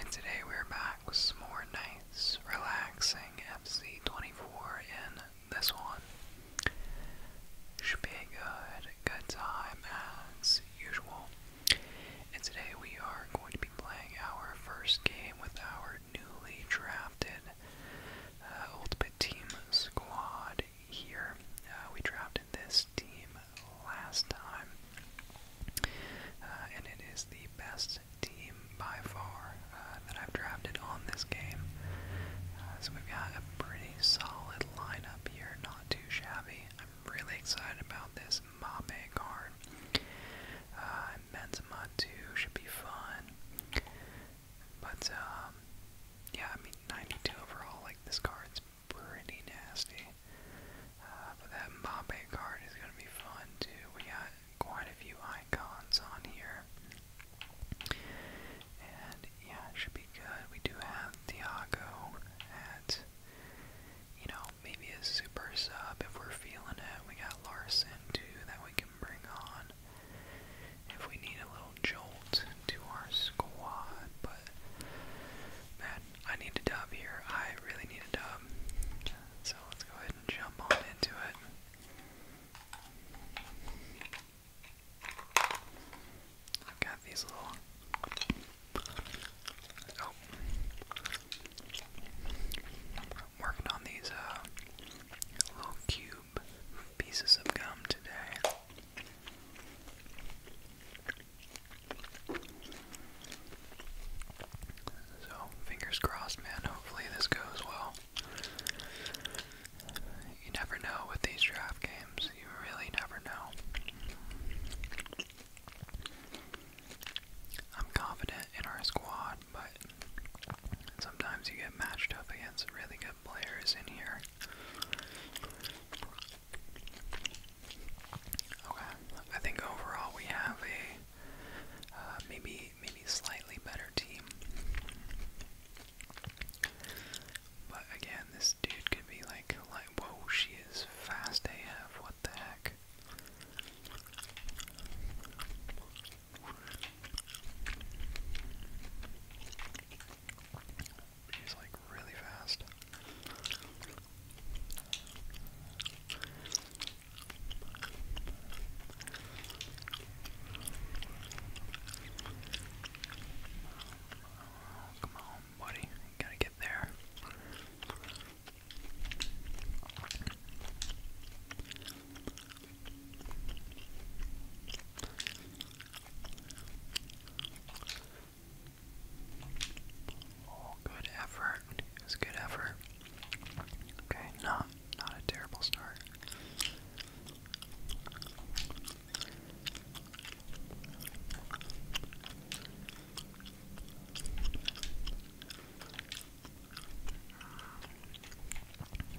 And today we're back with more nice, relaxing FC24 in this one. Should be a good, good time as usual. And today we are going to be playing our first game with our newly drafted uh, Ultimate Team squad here. Uh, we drafted this team last time, uh, and it is the best team by far uh, that I've drafted on this game. Uh, so we've got a pretty solid lineup here, not too shabby. I'm really excited about this Mabe card. Uh, Benzema too should be fun, but um, yeah, I mean 92 overall. Like this card's pretty nasty. Uh, but that Mbappe card is going to be fun too. We got quite a few icons on here. And yeah, should be good. We do have Thiago at, you know, maybe a super sub if we're feeling it. We got Larson too that we can bring on if we need a little jolt to our squad. But man, I need a dub here. I really need a dub. So let's go ahead and jump on into it. I've got these little. Oh. working on these uh, little cube pieces of gum today. So, fingers crossed, man. Hopefully, this goes well. You never know with these draft games, you really never know. I'm confident in our squad, but sometimes you get matched up against really good players in here. Okay, I think overall we have a uh, maybe maybe slightly better team. But again, this dude could be like, like, whoa, she is fast AF. What the heck? He's like really fast. come on, buddy. gotta get there. Oh, good effort. It good effort. Okay, not not a terrible start.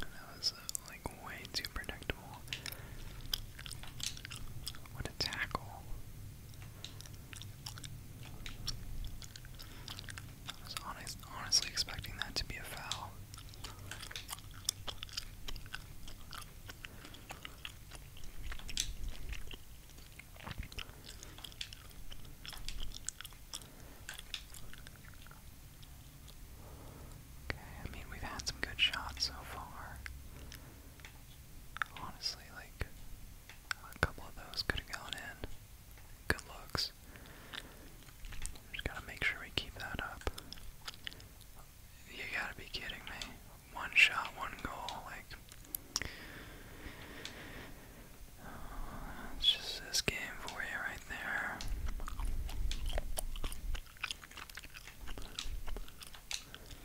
That was uh, like way too predictable. What a tackle. I was honestly expecting that to be a foul. Okay, I mean, we've had some good shots so far. Honestly, like a couple of those could have gone in. Good looks. gotta make sure we keep that up. You gotta be kidding me. One shot, one goal, like it's just this game for you right there. A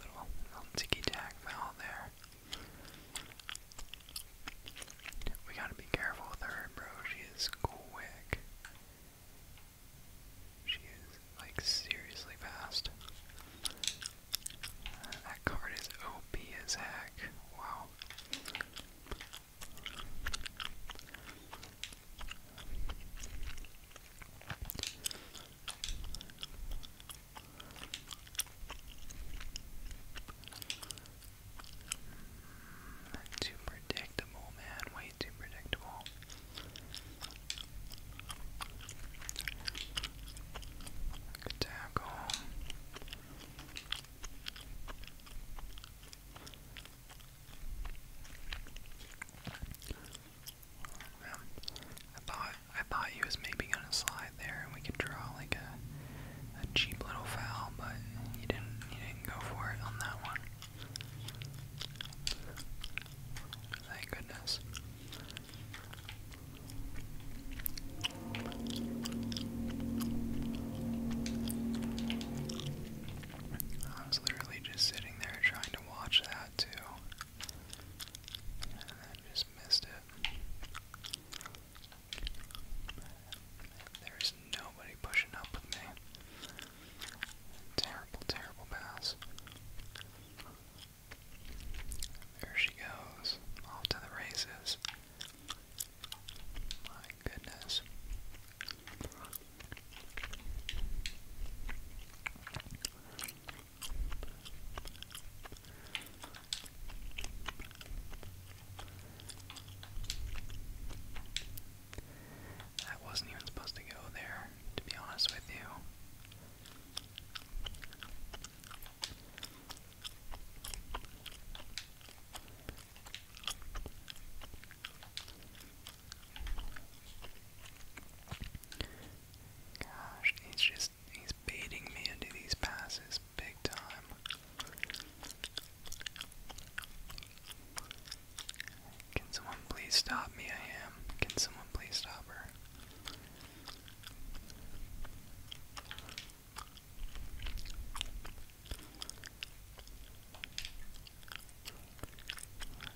little, little ticky tack foul there. We gotta be careful with her, bro. She is quick. She is like seriously fast. Uh, that card is OP as heck. Wow. Hmm, too predictable, man. Way too predictable. Good tackle. I thought I thought he was maybe gonna slide there and we could draw like a a cheap little foul, but he didn't he didn't go for it on that one. Thank goodness. I was literally just sitting there trying to watch that too. And then just missed it. There's nobody pushing up with me. Terrible, terrible pass. There she goes, off to the races. My goodness. That wasn't even supposed to go there, to be honest with you. Gosh, he's just he's baiting me into these passes big time. Can someone please stop me? I am. Can someone please stop her?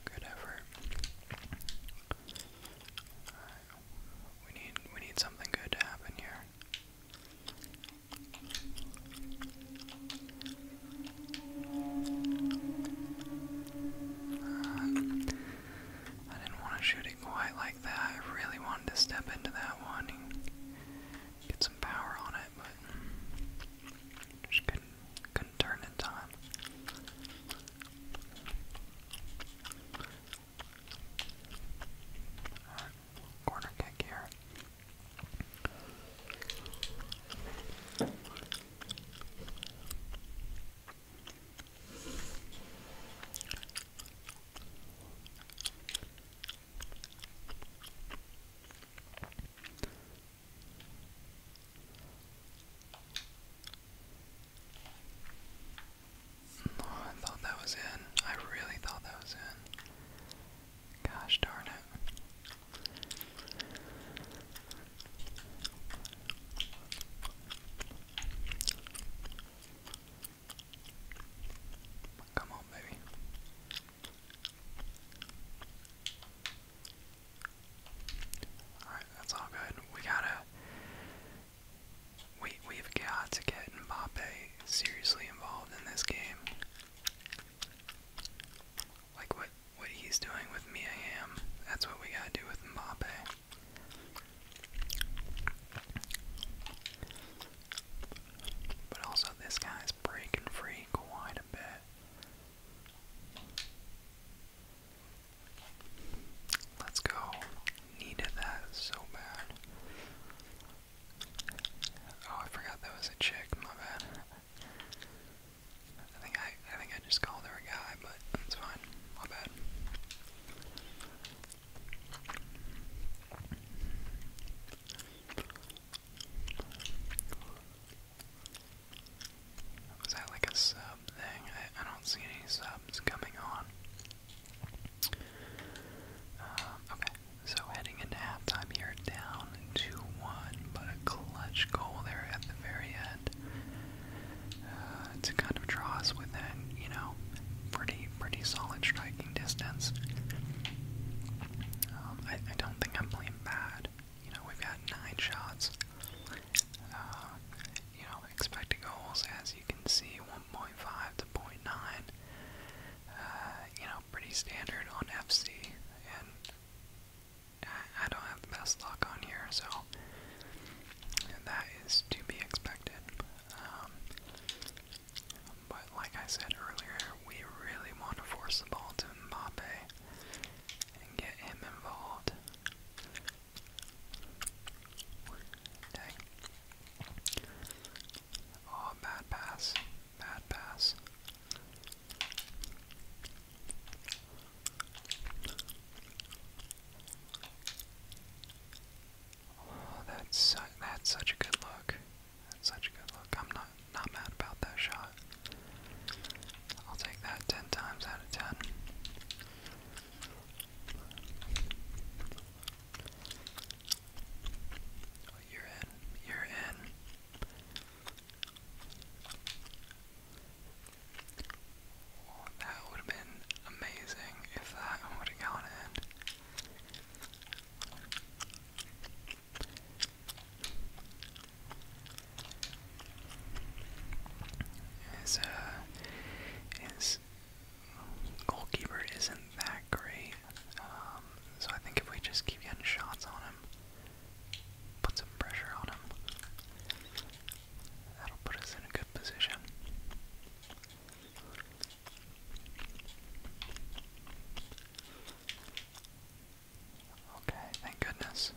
Good effort. We need we need something good to happen here. I didn't want to shoot it quite like that. I really wanted to step into that one get some power on it, but just couldn't, turn in time. corner kick here. I thought that was in. I really thought that was in. Gosh darn it. Come on, baby. Alright, that's all good. We gotta we we've got to get Mbappe seriously involved in this game. Like what what he's doing with Mia Hamm. That's what we gotta do with Mbappe. But also, this guy's breaking free quite a bit. Let's go. Needed that so bad. Oh, I forgot that was a chick, my bad. I think I I think I just called her a guy, but that's fine. My bad. Was that like a sub thing? I, don't see any subs coming on. Um, okay, so heading into halftime here, down 2 1, but a clutch goal there at the very and uh, to kind of draw us within, you know, pretty pretty solid striking distance. Um, I, I don't think I'm playing bad. You know, we've got nine shots. Uh, you know, expected goals, as you can see, 1.5 to 0.9. Uh, you know, pretty standard on FC, and I don't have the best luck on here, so that is to be expected. Um, but like I said earlier, we really want to force the ball to Mbappe and get him involved. Oh, bad pass. Bad pass. Oh, that's that's such a good look. That's such a good look. I'm not not mad about that shot. I'll take that ten times out of ten. Oh, you're in. You're in. That would have been amazing if that would have gone in. His, uh, his goalkeeper isn't that great, um, so I think if we just keep getting shots on him, Put some pressure on him. That'll put us in a good position. Okay, thank goodness.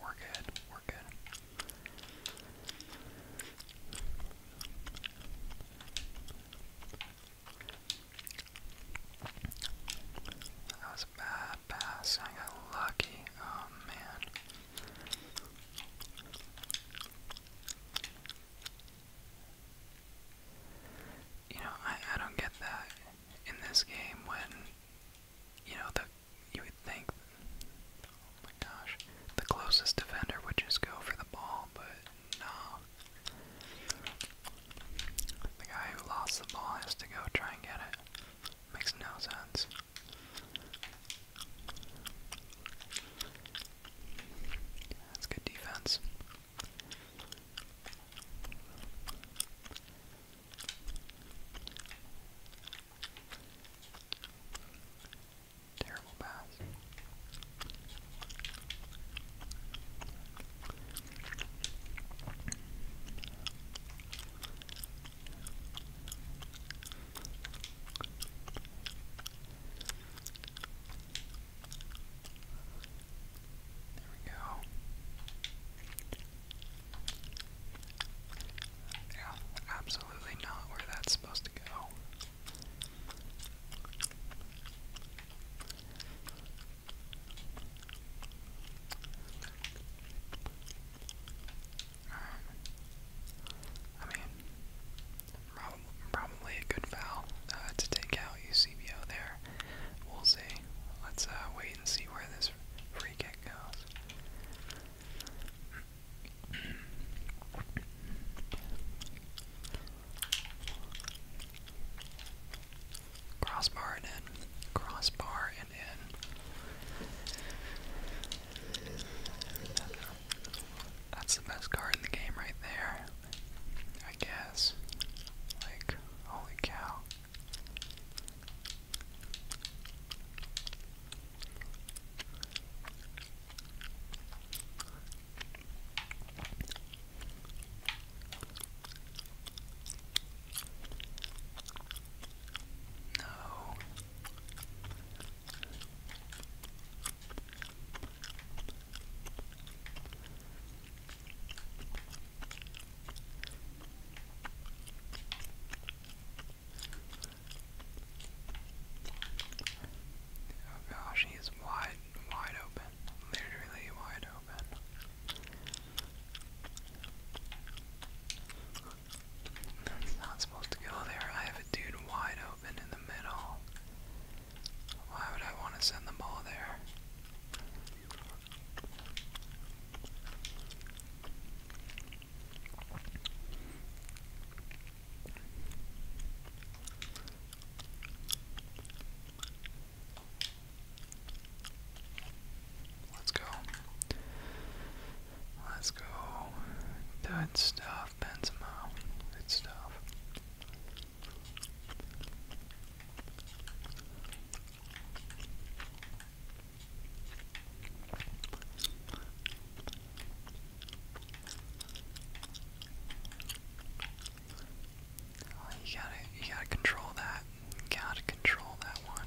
We're good, we're good. That was a bad pass. I got lucky. Um, Oh, man. You know, I, I don't get that in this game when, you know, the you would think, oh my gosh, the closest defender would just go for the ball, but no. The guy who lost the ball has to go try and get it. Makes no sense. That's good defense. Terrible pass. There we go. Yeah, absolutely not where that's supposed to go. Um, I mean, prob probably a good foul uh, to take out Eusebio there. We'll see. Let's uh, wait and see where this free kick goes. Crossbar in. Crossbar that's the best card in the game right there. I guess. Like, holy cow. No. Oh gosh, he wide, wide open. Literally wide open. That's not supposed to go there. I have a dude wide open in the middle. Why would I want to send the ball there? Let's go. Let's go. Good stuff, Benzema. Good stuff. Oh, you gotta, you gotta control that. gotta control that one.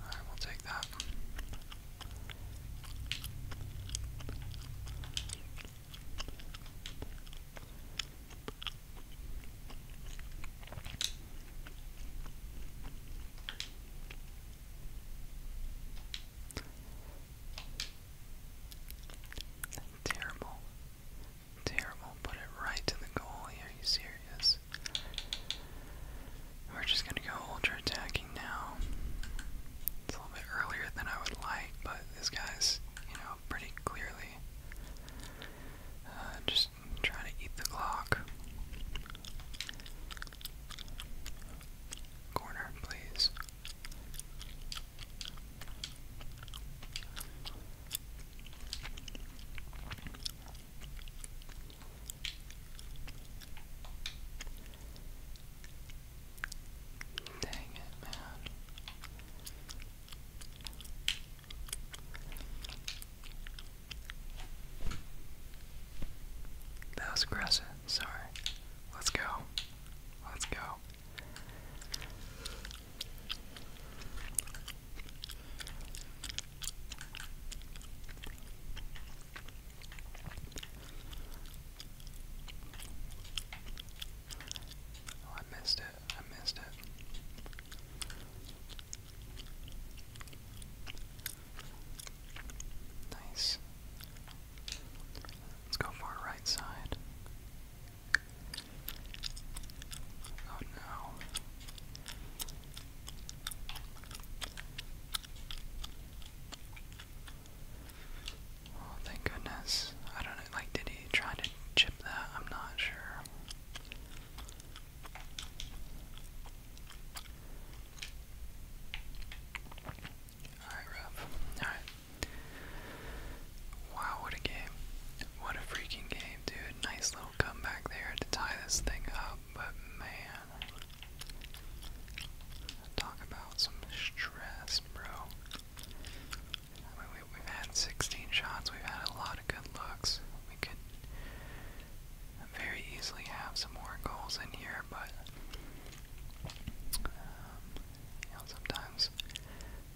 Alright, we'll take that. Terrible. Terrible. Put it right to the goal. Are you serious? We're just gonna go ultra attacking now. It's a little bit earlier than I would like, but this guy's, you know, pretty clearly uh, just trying to eat the clock. Corner, please. Dang it, man. That was aggressive. Sorry. Let's go. Let's go. Oh, I missed it. I missed it. Nice. Let's go for our right side. Oh no. Oh, thank goodness. I don't know, like, did he try to chip that? I'm not sure. Alright, rough. Alright. Wow, what a game. What a freaking game, dude. Nice little comeback there to tie this thing up, but man. Talk about some stress, bro. I mean, we, have had 16 shots, we've had a lot of good looks. We could very easily have some more goals in here, but um, you know, sometimes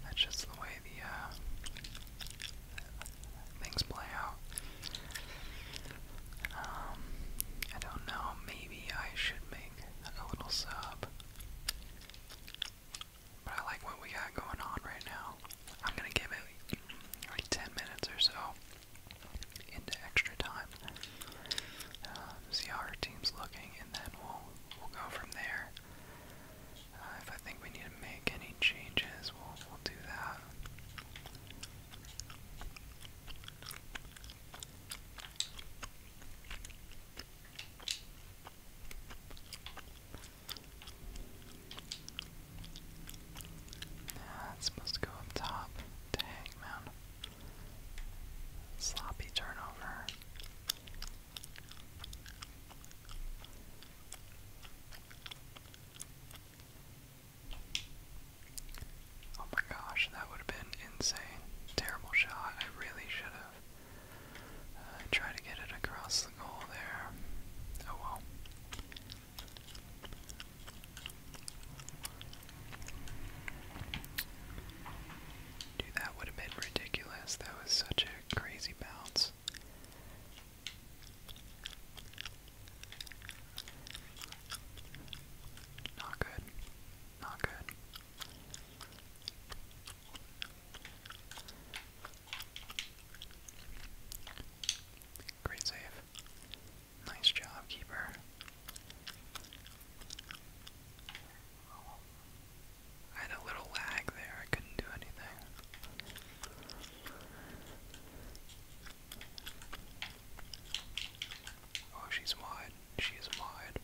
that's just the way the uh, things play out. Um, I don't know. Maybe I should make a little sub. But I like what we got going on right now. I'm gonna give it like 10 minutes or so into extra time. Uh, see how our team's looking, and then we'll we'll go from there. Uh, if I think we need to make any changes, we'll we'll do that. Nah, supposed to go up top to Hangman. Sloppy turnover. Oh my gosh, that would have been insane. Terrible shot. I really should have uh, tried to get it across the goal there. Oh well that would have been ridiculous. That was such a crazy bounce. Not good. Not good. Great save. Nice job, keeper. I had a little lag there, I couldn't do anything. Oh, she's wide. She is wide.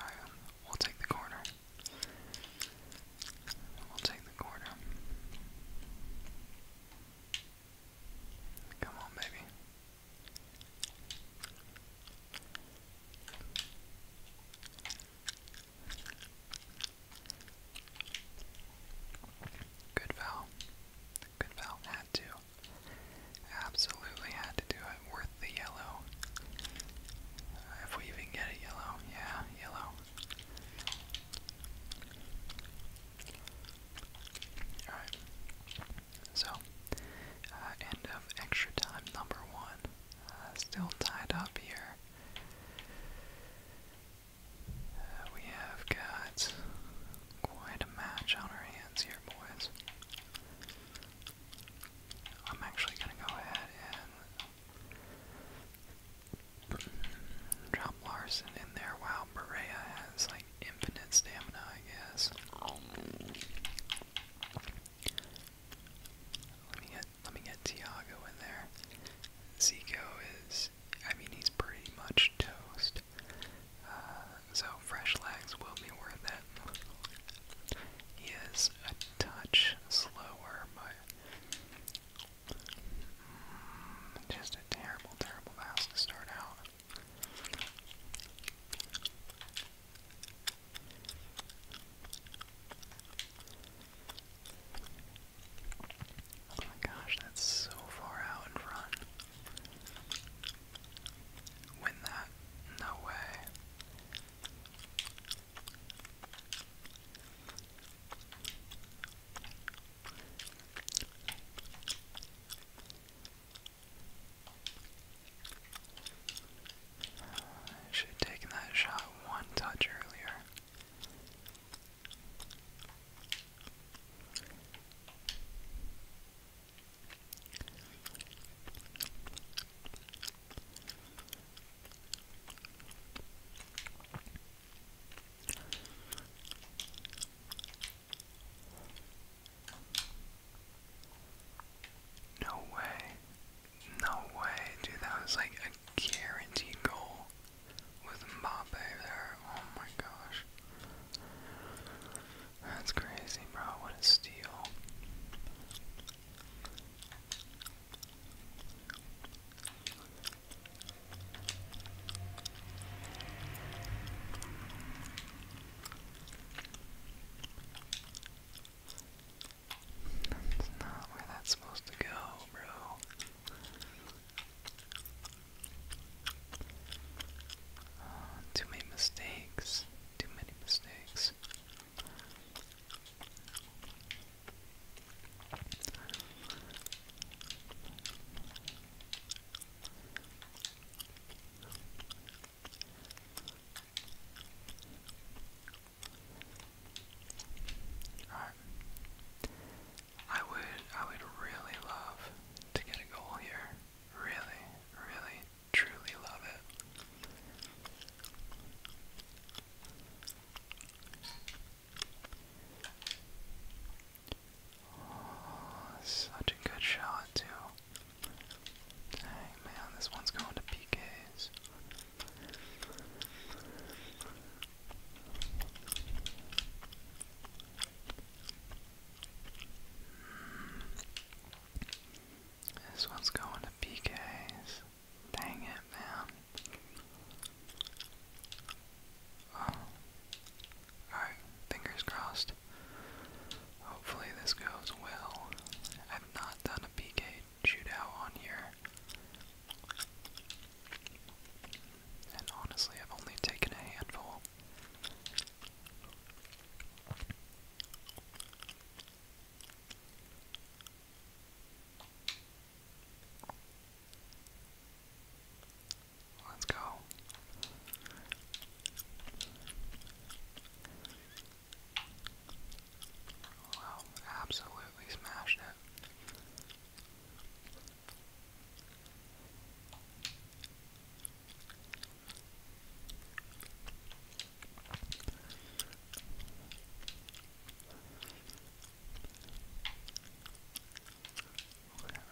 Alright, we'll take the corner. We'll take the corner. Come on, baby. Good foul. Good foul. Had to. Absolutely had to do it. Worth the yellow. if we even get a yellow. Yeah, yellow. Alright. So, uh, end of extra time number one. Uh, still tied up here. Uh, we have got quite a match on our hands here, boys. I'm actually going to go ahead and Drop Larson in there. Wow, Berea has like infinite stamina, I guess. Let me get let me get Tiago in there. Zico is I mean he's pretty much toast. Uh, so fresh legs will be worth it. He is a touch slower, but just a terrible, terrible house to start out. Oh my gosh, that's so far out in front. Win that? No way. I should have taken that shot one touch earlier. No way. No way, dude. That was like a guaranteed goal with Mbappe there. Oh my gosh. That's crazy, bro. What a steal. That's not where that's supposed to go, bro. Ah, too many mistakes. Too many mistakes. I would I would really love to get a goal here. Really, really, truly love it. Oh, such a good shot, too. Dang, man, this one's going to PKs. This one's going to PKs. Dang it, man. Oh. Alright, fingers crossed. Hopefully this goes well. I've not done a PK shootout on here. And honestly, I've only taken a handful. Let's go. Wow, absolutely smashed it.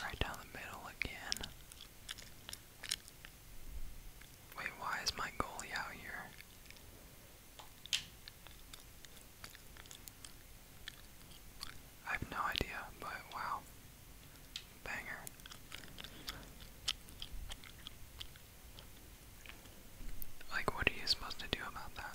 Right down the middle again. Wait, why is my goalie out here? I have no idea, but wow. Banger. Like, what are you supposed to do about that?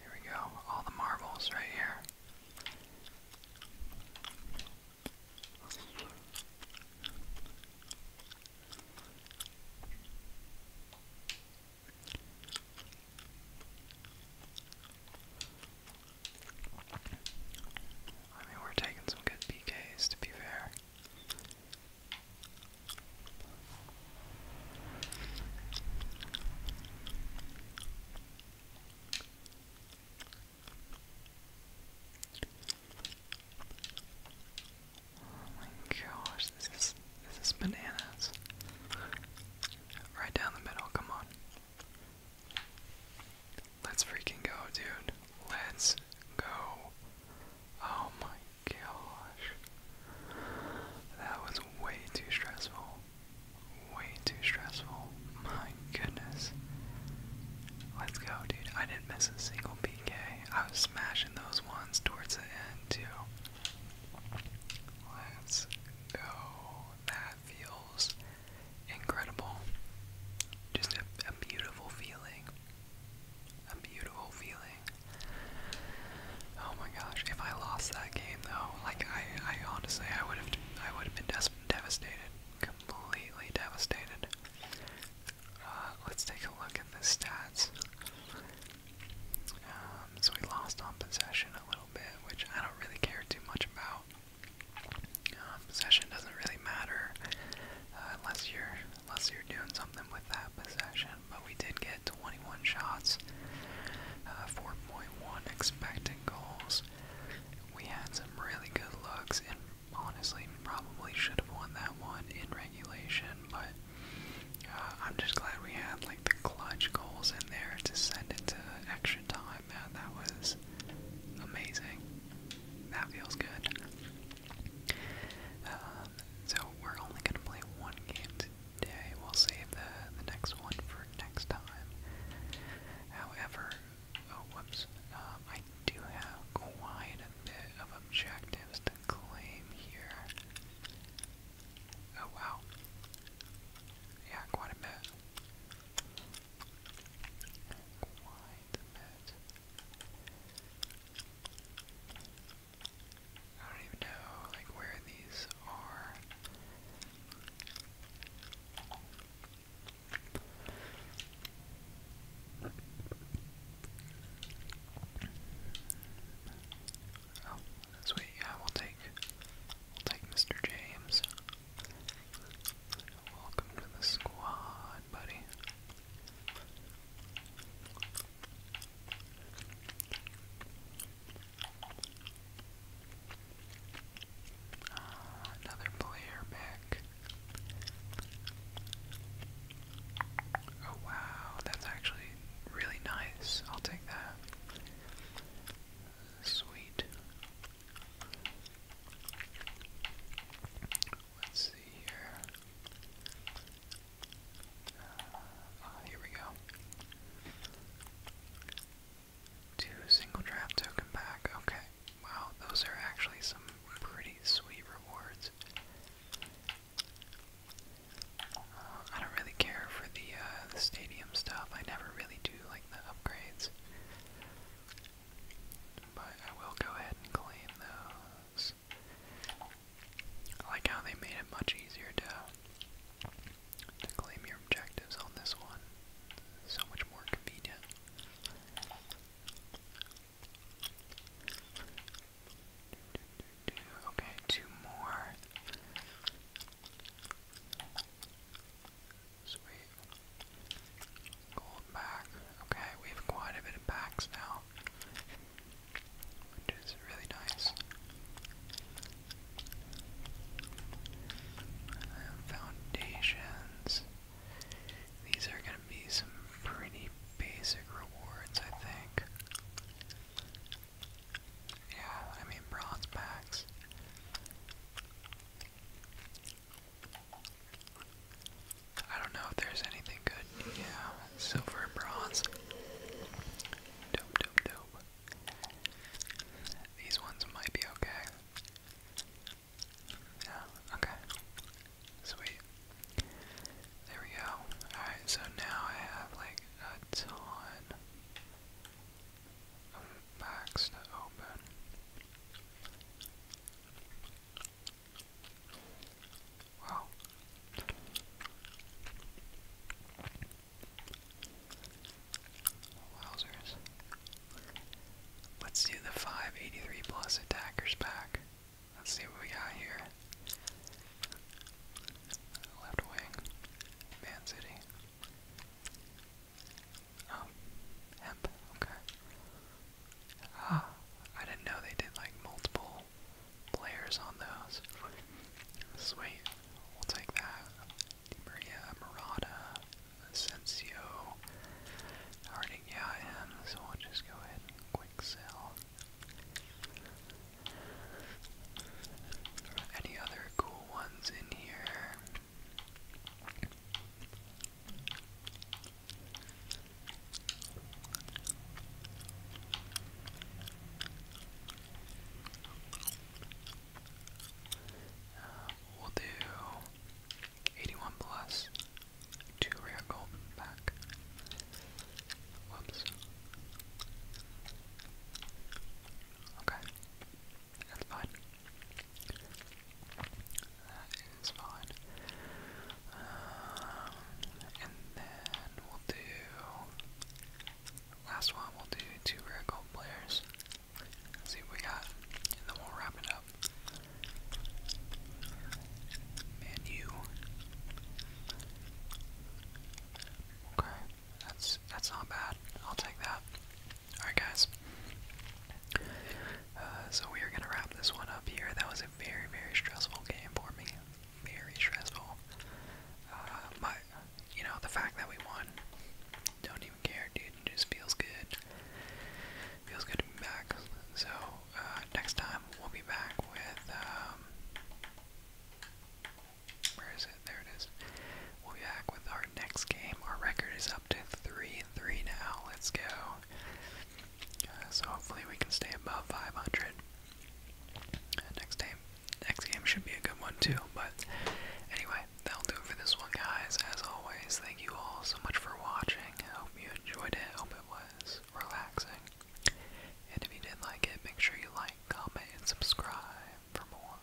Here we go. All the marbles right here. I mean, we're taking some good PKs to be fair. Oh my gosh, this is this is bananas. Right down the middle, come on. Let's freaking go, dude. Let's go. Oh my gosh. That was way too stressful. Way too stressful. My goodness. Let's go, dude. I didn't miss a single PK. I was smashing those ones towards the end, too. Let's go. That feels incredible. Just a, a beautiful feeling a beautiful feeling. Oh my gosh! If I lost that game though, like I, I honestly, I would have, I would have been devastated, completely devastated. Uh, let's take a look at the stats. Um, so we lost on possession a little bit, which I don't really care too much about. Um, possession doesn't really matter uh, unless you're unless you're doing something with that possession. But we did get 21 shots, uh, 4.1 expected goals. We had some really good looks, and honestly, probably should have won that one in regulation. But uh, I'm just glad we had like the clutch goals in there to send it to extra time. and that was amazing. That feels good. Um, so we're only going to play one game day. We'll save the, the next one for next time. However, oh whoops, um, I do have quite a bit of objectives to claim here. Oh wow. Yeah, quite a bit. Quite a bit. I don't even know like where these are. Oh, that's wait, yeah, we'll take we'll take Mr. James. Welcome to the squad, buddy. Uh, another player back. Oh wow, that's actually really nice. I'll take that. Sweet. Let's see here. Uh, uh, here we go. Two single draft token back. Okay. Wow, those are actually some pretty sweet rewards. Uh, I don't really care for the the stadium stuff. I never really do like the upgrades, but I will go ahead and claim those this. I like how they made it much easier to, to claim your objectives on this one. So much more convenient. Okay, two more. Sweet. Gold back. Okay, we have quite a bit of packs now which is really nice. Uh, foundations. These are going to be some pretty basic rewards, I think. Yeah, I mean, bronze packs. I don't know if there's anything good. Yeah, silver, and bronze. Dope, dope, dope. These ones might be okay. Yeah, okay. Sweet. There we go. Alright, so now I have like a ton of packs to open. Wowzers. Let's do the 583 plus attackers pack. Let's see what we got here. Left wing, Man City. Oh, hemp, okay. Ah, I didn't know they did like multiple players on those. Sweet, we'll take that. Di Maria, Murata, Asensio. Already got him, so we'll just go ahead and quick sell. Any other cool ones in here? Um, we'll do 81 plus 2 rare gold back. Whoops. Okay. That's fine. That is fine. Um, and then we'll do last one. We'll do two rare gold players. see what we got, and then we'll wrap it up. Manu. Okay, that's that's not bad. I'll take that. All right, guys. Uh, so we are gonna wrap this one up here. That was a very very stressful game for me very stressful. Uh, my, you know, the fact that we won, don't even care, dude. It just feels good. Feels good to be back. So uh, next time we'll be back with. Um, where is it? There it is. We'll be back with our next game. Our record is up to three and three now. Let's go so hopefully we can stay above 500. next game, next game should be a good one too. But anyway, that'll do it for this one, guys. As always, thank you all so much for watching. I hope you enjoyed it. I hope it was relaxing. And if you did not like it, make sure you like, comment, and subscribe for more.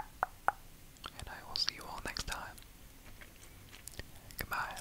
And I will see you all next time. Goodbye.